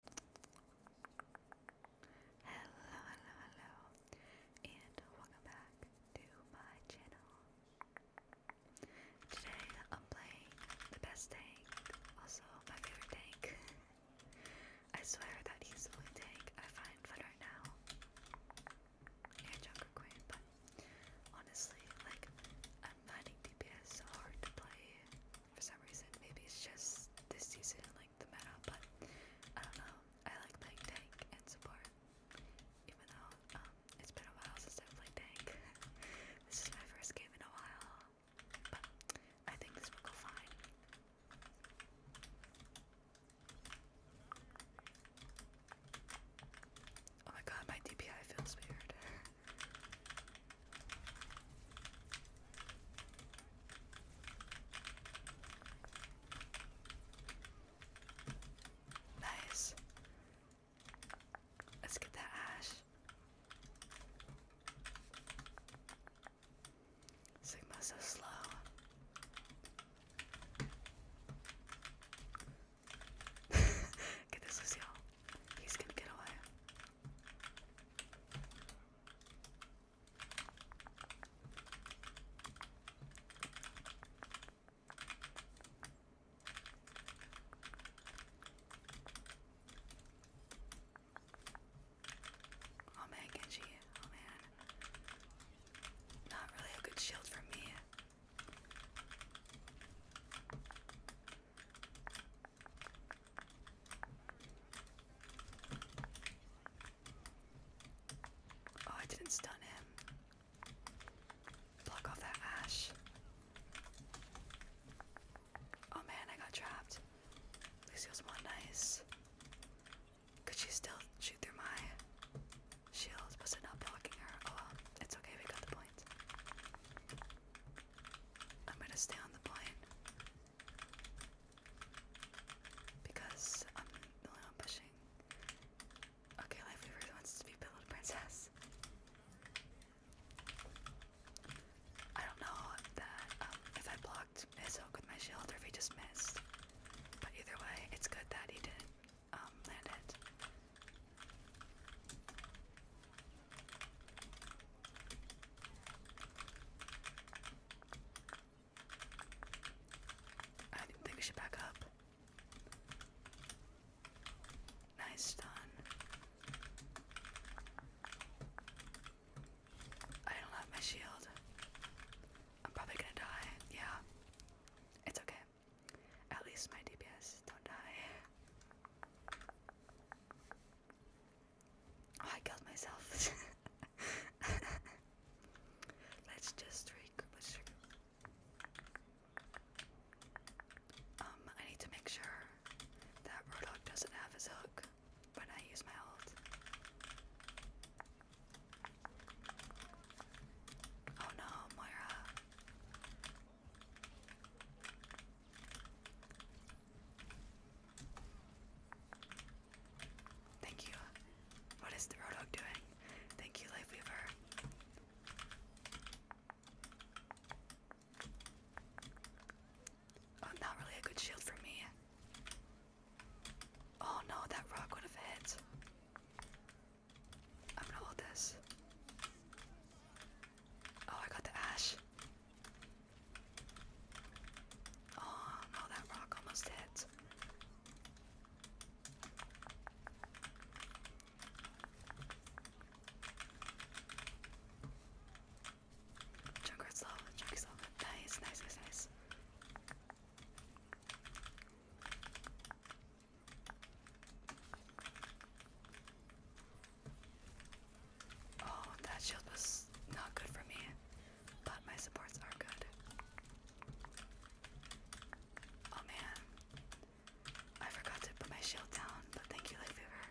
Hello, hello, hello, and welcome back to my channel. Today I'm playing the best tank, also my favorite tank. I swear that he's the only tank I find fun right now. And Junker Queen, but honestly, like, I'm finding DPS hard to play for some reason. Maybe it's just this season, like the meta, but I don't know. I like playing tank and support, even though um, it's been a while since I've played tank. this is my first game in a while, but I think this will go fine. Oh my god, my DPI feels weird. Nice. Let's get that ash. Sigma's so slow. get this, Lucille. He's gonna get away. Oh man, Genji. Oh man. Not really a good shield for me. Oh, I didn't stun him. Block off that ash. Oh man, I got trapped. Lucio's one nice. Could she still shoot through my shield? Was it not blocking her? Oh it's okay, we got the point. I'm gonna stay on the point. Because I'm the one pushing. Okay, Life Weaver wants to be Pillow Princess. I don't know that um, if I blocked his with my shield if he just missed. But either way, it's good that he didn't um, land it. I think we should back up. Nice stun. I don't have my shield. I'm probably gonna die. Yeah. It's okay. At least my DPS don't die. Oh, I killed myself. Let's just regroup. Um, I need to make sure that Rodok doesn't have his hook when I use my ult. Oh no, Moira. Thank you. What is the Roadhog doing? Thank you, Lifeweaver. Oh, not really a good shield for me. Oh no, that rock would have hit. I'm gonna hold this. Oh, I got the ash. Oh no, oh, that rock almost hit. Junkrat's lava, Junkrat's lava. Nice, nice, nice, nice. Oh, that shield was not good for me, but my supports are good. Oh man, I forgot to put my shield down, but thank you, Light Fever.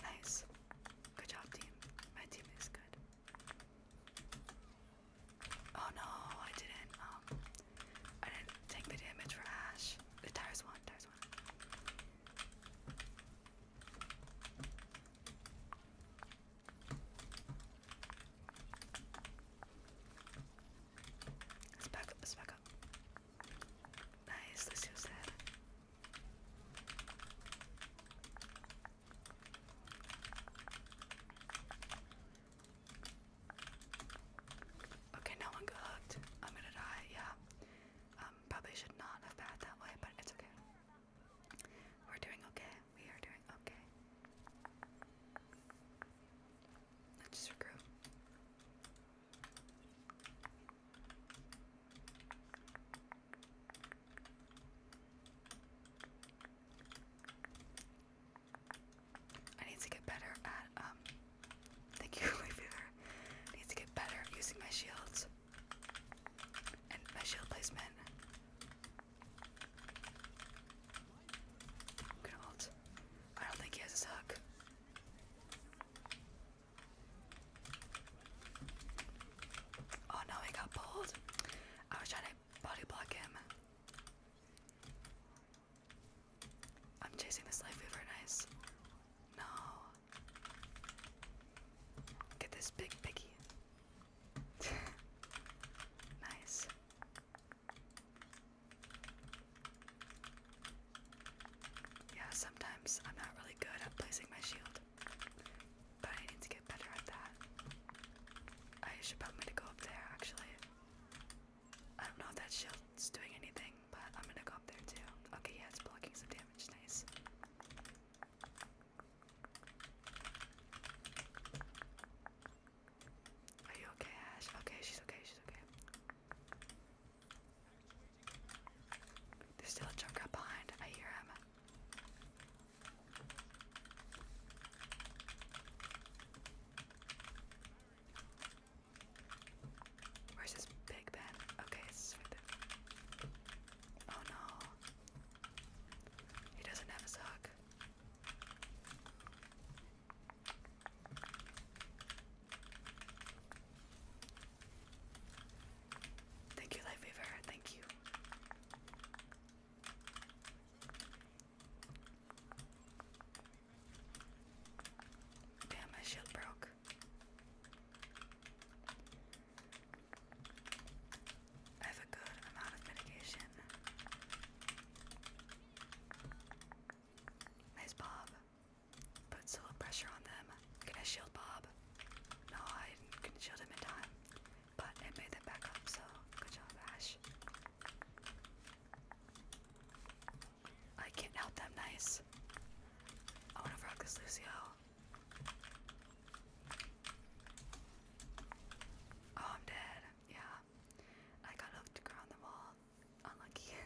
Nice. Good job, team. My team is good. Oh no, I didn't. Um, I didn't take the damage for Ash. The tires won. Tires guys want. Let's back up, let's back up. Nice, this is Okay, no one got hooked. I'm gonna die, yeah. Um, probably should not have bathed that way, but it's okay. We're doing okay. We are doing okay. Let's just I need to get better at um the cure fever needs to get better using my shields and my shield placement. I'm gonna ult. I don't think he has his hook. Oh no, he got pulled. I was trying to body block him. I'm chasing this life weaver, nice. No. Look this big piggy. nice. Yeah, sometimes I'm not really good at placing my shield, but I need to get better at that. I should probably go up there actually. I don't know if that shield's doing anything. But I'm gonna go up there too. Okay, yeah, it's blocking some damage. Nice. Are you okay, Ash? Okay, she's okay, she's okay. There's still a chunk up behind. I hear him. Where's this big Ben? Okay, it's right there. Oh no. He doesn't have his hook. Thank you, Lightweaver. Thank you. Damn, my shield broke. I have a good amount of mitigation. Nice Bob. Put a little pressure on them. Can I shield Bob? No, I couldn't shield him in time. But it made them back up, so good job, Ash. I can't help them, nice. I wanna rock this Lucio. Oh, I'm dead. Yeah. I got hooked around the wall. Unlucky.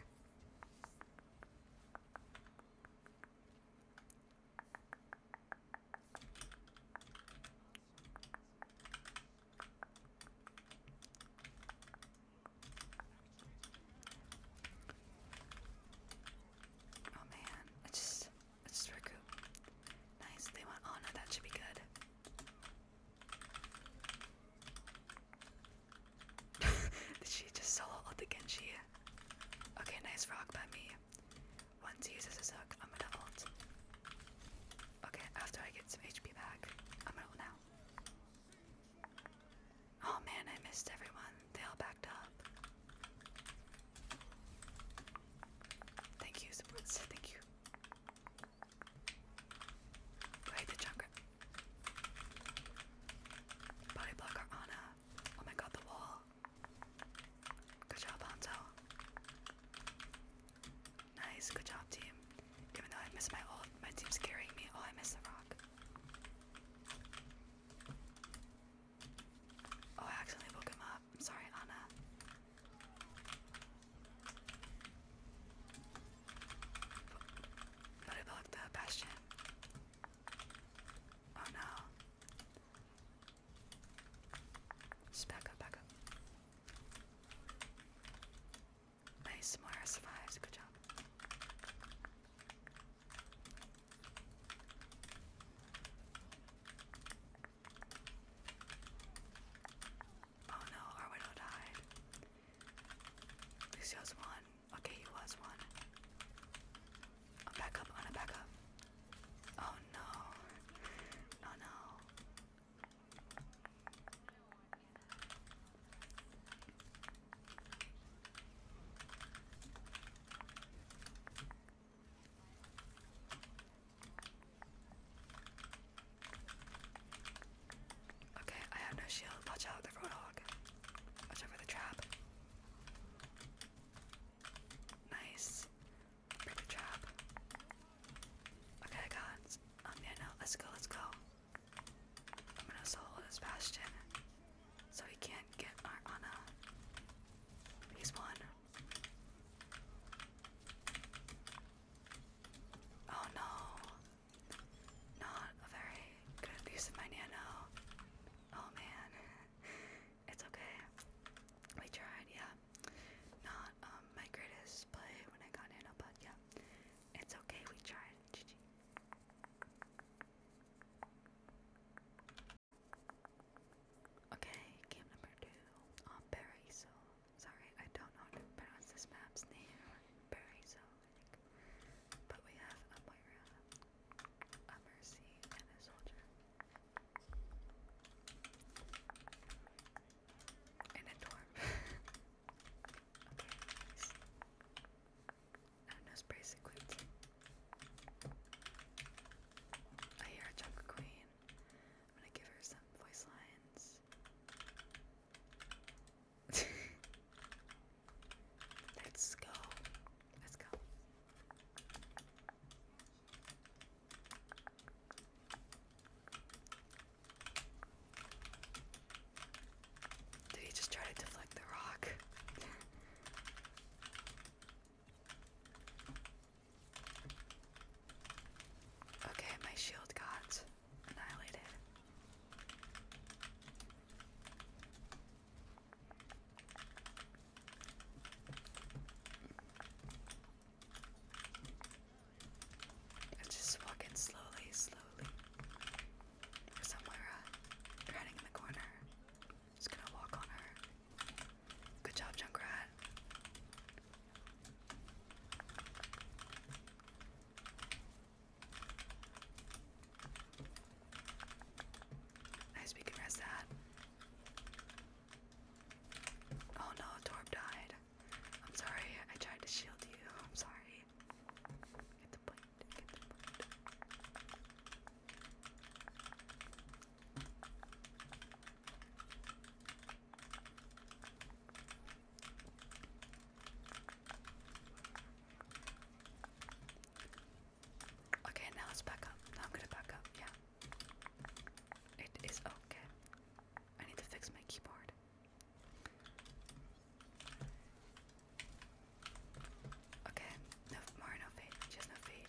Oh man, it's just it's just recoup. Nice, they want oh no, that should be good. Did just solo ult the Genji? Okay, nice rock by me. Once he uses his hook, I'm gonna ult. Okay, after I get some HP back, I'm gonna ult now. Oh man, I missed everyone. They all backed up. Thank you, supports. Thank you. Right, the chakra. Body block our Oh my god, the wall. Good job, Hanzo. Nice, good job, team. Even though I miss my old, my team's carrying me. Oh, I miss the rock. Oh, I accidentally woke him up. I'm sorry, Anna. But I blocked the bastion. Oh no. back up, back up. Nice, Moira survives. Good job. Oh no, our widow died. Lucio's one. Okay, he was one. I'm on a back Oh no. Oh no. Okay, I have no shield. Watch out, the roadhog. Watch out for the trap. Nice. Break the trap. Okay, I got it. Um, let's go, let's go. I'm gonna solo this Bastion so he can't get our Ana. He's one. Oh no. Not a very good use of my Nano. Oh man. It's okay. We tried, yeah. Not um, my greatest play when I got Nano, but yeah. It's okay, we tried. GG. Okay, game number two on um, Paraiso. Sorry, I don't know how to pronounce this map's name. Paraiso, I But we have a Moira, a Mercy, and a Soldier. And a Dorm. I hear a Jungle Queen. I'm gonna give her some voice lines. Let's go. Let's go. Did he just try to deflect the rock? okay, my shield got annihilated. I'm just walking slowly, slowly somewhere hiding in the corner. Just gonna walk on her. Good job, Junkrat. Nice, we can Oh no, Torb died. I'm sorry, I tried to shield you. I'm sorry right? Get Okay, now let's back up. Now I'm gonna back up, yeah. It is okay. I need to fix my keyboard. Okay, no more, no fade, just no fade.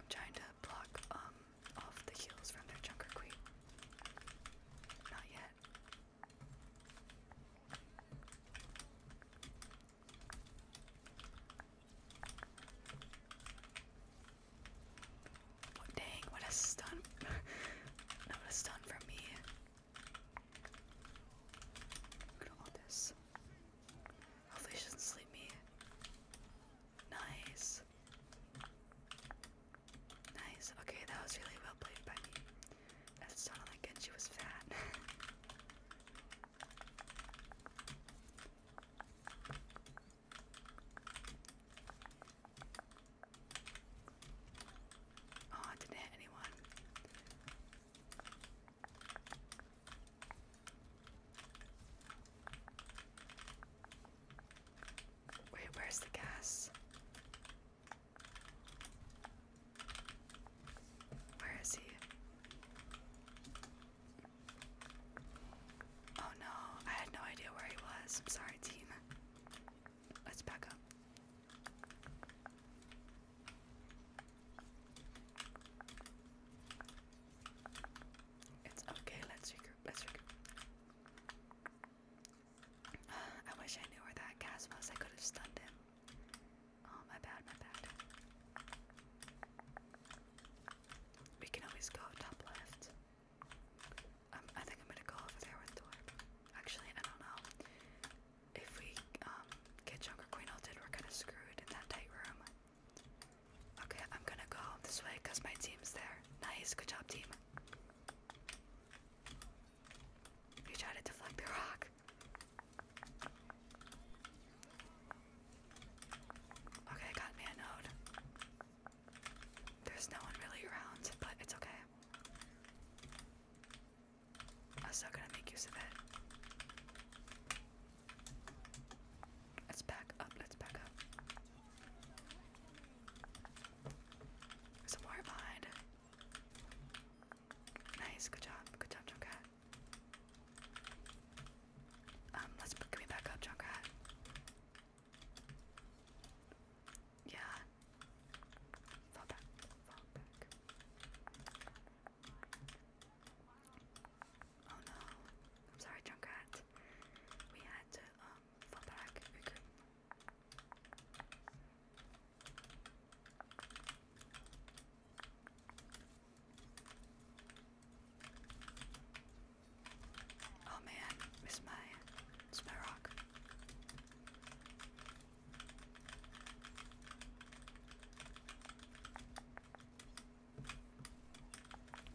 I'm trying to block um off the heels from their Junker Queen. Not yet dang, what a stun. What a stun from me. Look at all this. Hopefully sleep me. Nice. Nice. Okay, that was really well played by me. That sounded like it. She was fat. Oh, I didn't hit anyone. Wait, where's the gas? Where is he? Oh no, I had no idea where he was. I'm sorry, team. Let's back up. It's okay, let's regroup, let's regroup. I wish I knew where that gas was, I could have stunned him. Oh, my bad, my bad. We can always go top left. I think I'm gonna go over there with Thor. Actually, I don't know. If we um, get Junker Queen ulted, we're kind of screwed in that tight room. Okay, I'm gonna go this way because my team's there. Nice, good job, team. You try to deflect the rock. Okay, got me a node. There's no one really around, but it's okay. I'm still gonna make use of it. Let's back up, let's back up. some more behind. Nice, good job, good job, Junkrat. Um, let's bring me back up, Junkrat. Yeah. Fall back. Fall back. Oh no. I'm sorry, Junkrat. We had to um fall back. Oh man, miss my miss my rock.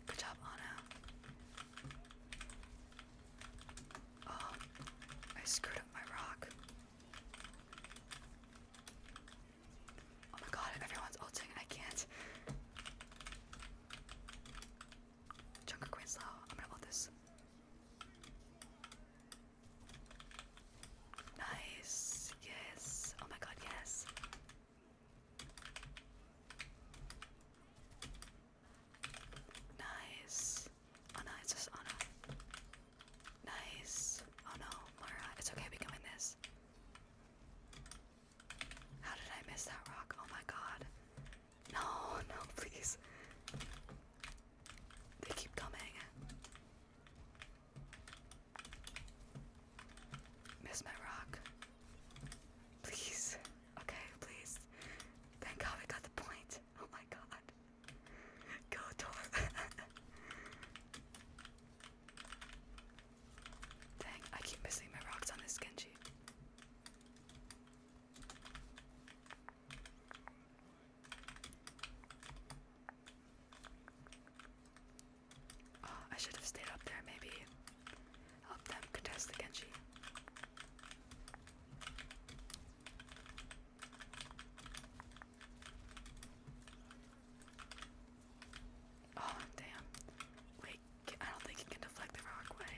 Good job, Anna. Oh, I screwed up my rock. Oh my god, everyone's ulting I can't. Junker Queen Slow. I'm gonna love this. Nice. Yes. Oh my god, yes. Nice. Oh no, it's just oh no. Nice. Oh no, Mara. It's okay, we can win this. How did I miss that rock? Oh my god. No, no, please. They keep coming. Miss my rock. Please. Okay, please. Thank god we got the point. Oh my god. Go, Tor. Dang, I keep missing my rocks on this Genji. Oh, I should have stayed up there, maybe. Help them contest the Genji. Oh, damn. Wait, I don't think he can deflect the rock way.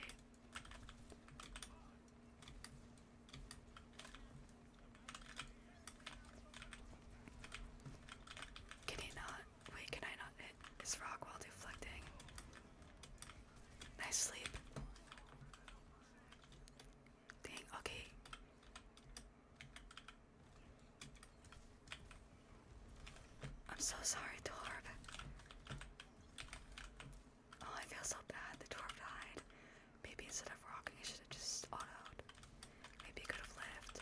Can he not? Wait, can I not hit his rock while deflecting? Nice sleep. okay. I'm so sorry, Torb. Oh, I feel so bad. The Torb died. Maybe instead of rocking, I should have just autoed. Maybe it could have lived.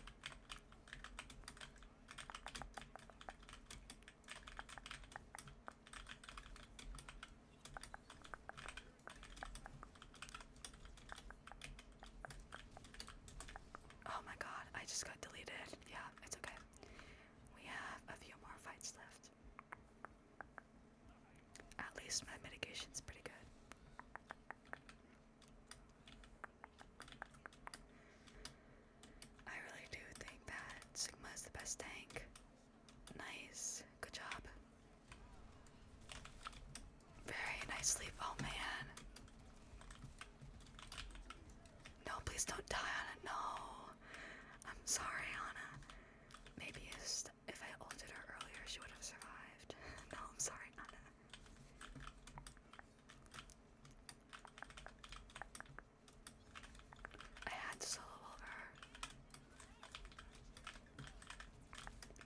Oh my god, I just got deleted. Yeah, it's okay. We have a few more fights left. At least my medication's pretty good. I really do think that Sigma is the best tank. Nice. Good job. Very nice sleep. Oh man. No, please don't die, Anna. No. I'm sorry, Anna. Maybe if I altered her earlier, she would have survived. no, I'm sorry, Anna. I had to solo over her.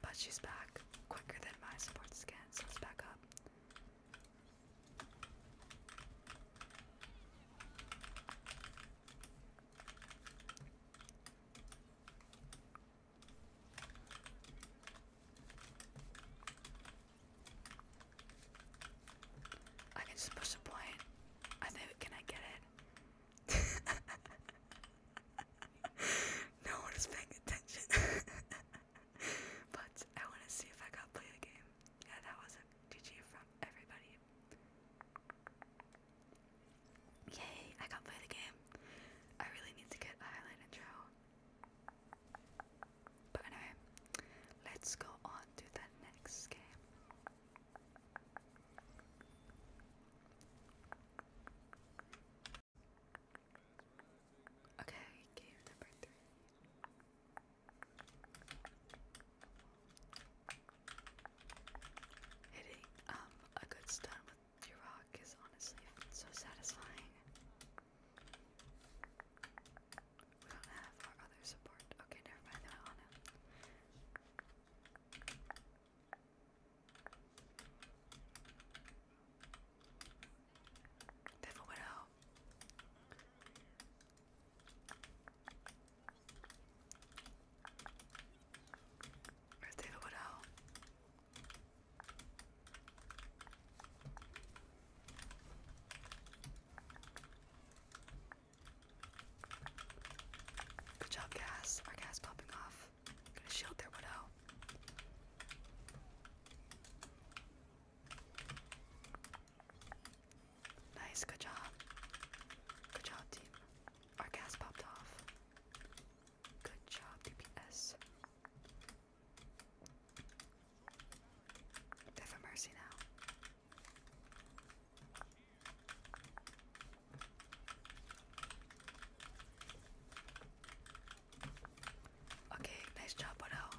But she's back quicker than my support scan, so let back up. I can just push a point. I think can I get it? no one is paying attention. but I wanna see if I got play the game. Yeah, that was a GG from everybody. Yay, I can't play the game. I really need to get a highlight intro. But anyway, let's go on to the next game. Okay, game number three. Hitting um, a good stun with your rock is honestly so satisfying. We don't have our other support. Okay, never mind. They on it. They've all went out. Where's Good job, gas. Our gas popping off. Gonna shield their window. Nice, good job. Good job, team. Our gas popped off. Good job, DPS. They have mercy now. Okay, nice job, Odo.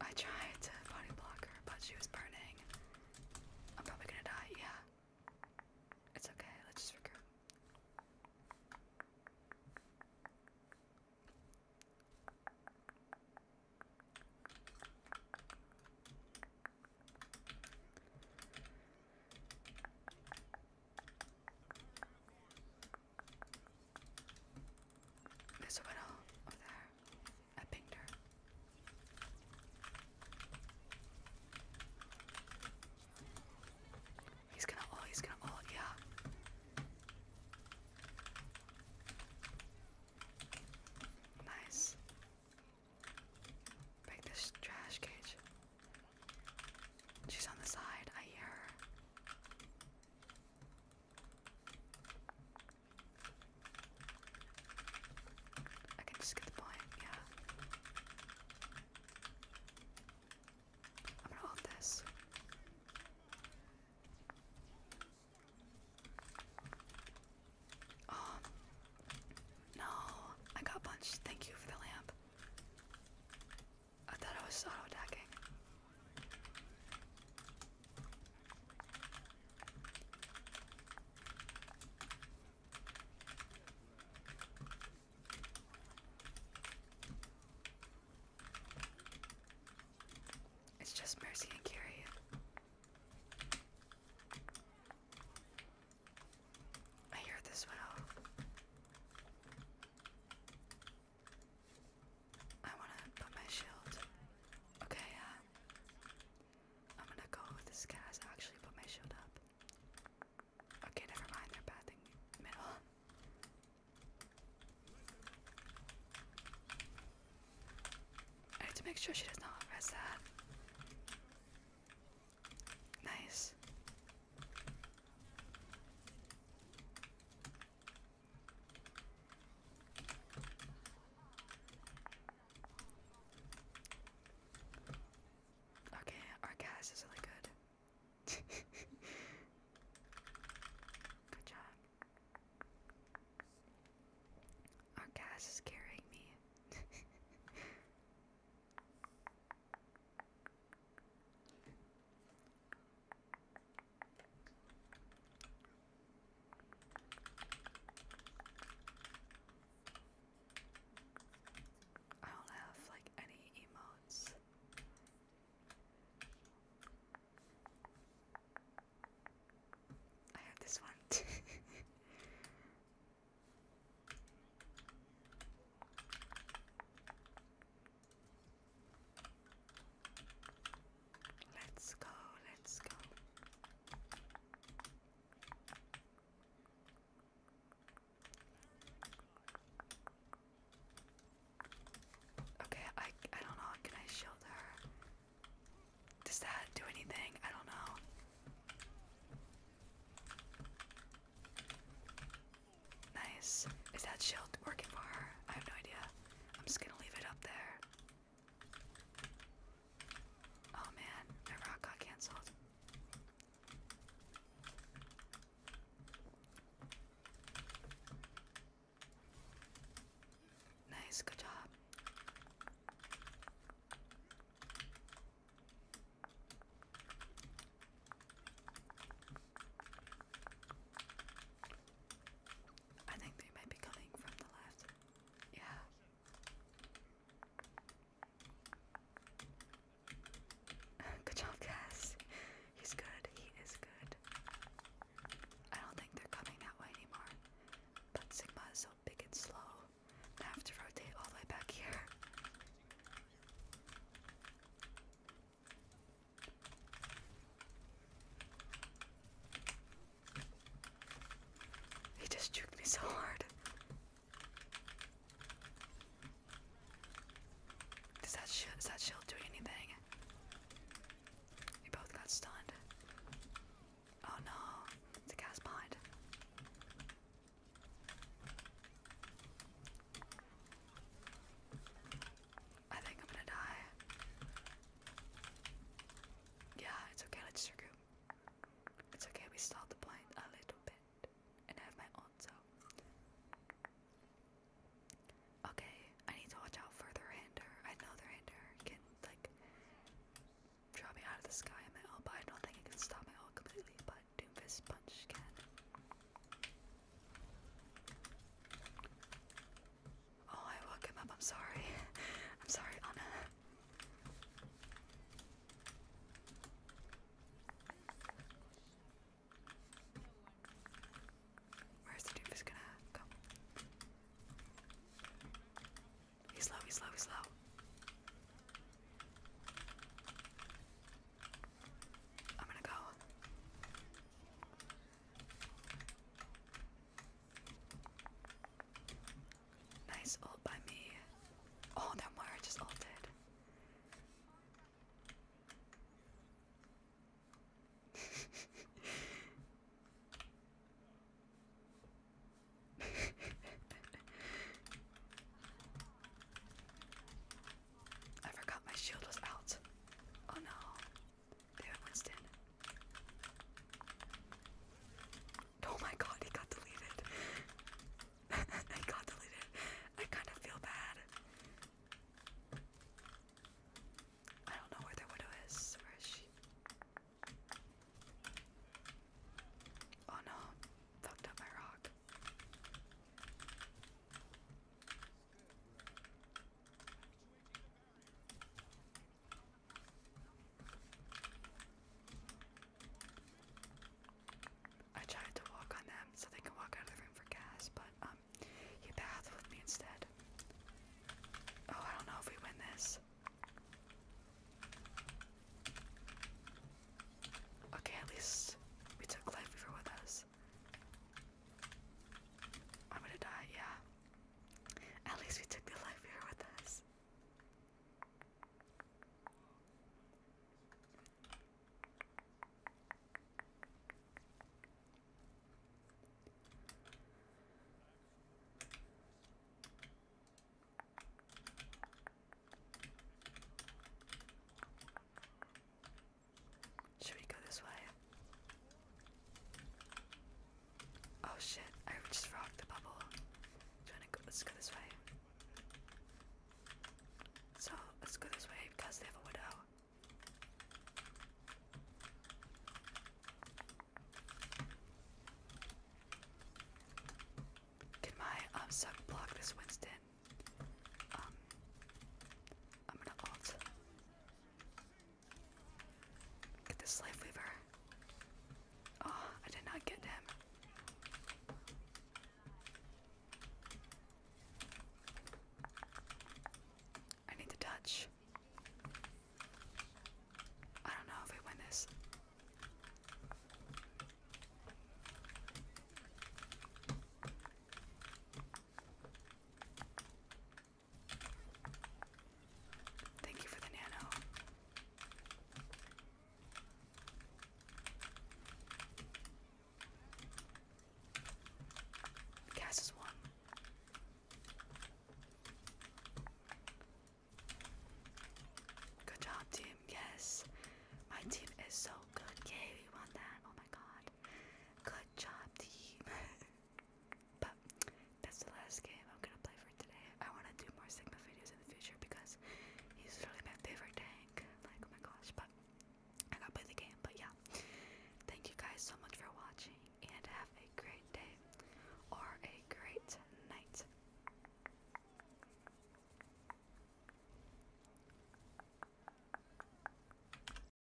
I tried to body block her, but she was burning. I'm probably gonna die, yeah. It's okay, let's just regroup. There's oh, over there. I pinged He's gonna all, he's gonna all, yeah. Nice. Break this trash cage. She's on the side. I hear her. I can just get the point, yeah. I'm gonna hold this. Oh no, I got punched. Thank you for the lamp. I thought I was auto attacking. It's just Mercy and Carrie. I hear this one I wanna put my shield. Okay, uh, I'm gonna go with this gas. Actually, put my shield up. Okay, never mind. They're pathing middle. I need to make sure she does not rest that. Nice. Okay, our gas is really good. good job. Our gas is carrying me. I don't have like any emotes. I have this one. Let's go, let's go. Okay, I I don't know. Can I shield her? Does that do anything? I don't know. Nice. Is that shield working for her? I have no idea. I'm just gonna leave it up there. Oh man, my rock got cancelled. Nice, good job. I think they might be coming from the left. Yeah. good job, Cass. He's good. He is good. I don't think they're coming that way anymore. But Sigma is so big and slow. I have to rotate all the way back here. He just juked me so hard. Does that sh is that shield doing anything? We both got stunned. Oh no, it's a gas behind. I think I'm gonna die. Yeah, it's okay, let's regroup. It's okay, we stalled the plane a little bit. And I have my own, so. Okay, I need to watch out for the render. I know can, like, draw me out of the sky in my ult, I don't think it can stop my ult completely, but Doomfist Punch can. Oh, I woke him up. I'm sorry. I'm sorry, Anna. Where's the doofus gonna come? He's low, he's low, he's low. I'm gonna go. Nice ult by me. Oh, that Moira just ulted. I forgot my shield was out. Oh no. Oh my god, he got deleted. I got deleted. I kind of feel bad. I don't know where their widow is. Where is she? Oh no, fucked up my rock. I tried to walk on them so they can walk out of the room for gas, but um, he bathed with me instead. Oh, I don't know if we win this. Okay, at least we took life we with us. I'm gonna die, yeah. At least we took the life here with us. Should we go this way? Oh shit, I just rocked the bubble. let's go this way. So let's go this way because they have a widow. Can my um suck block this Winston? Um I'm gonna alt. Get the slave weaver. Oh, I did not get him. I need the touch. I don't know if we win this. Thank you for the nano. Cass one. Good job, team. Yes. My team is so good. Yay, we won that. Oh my god. Good job, team. But that's the last game I'm gonna play for today. I wanna do more Sigma videos in the future because he's literally my favorite tank. Like, oh my gosh, but I gotta play the game. But yeah, thank you guys so much for watching and have a great day or a great night.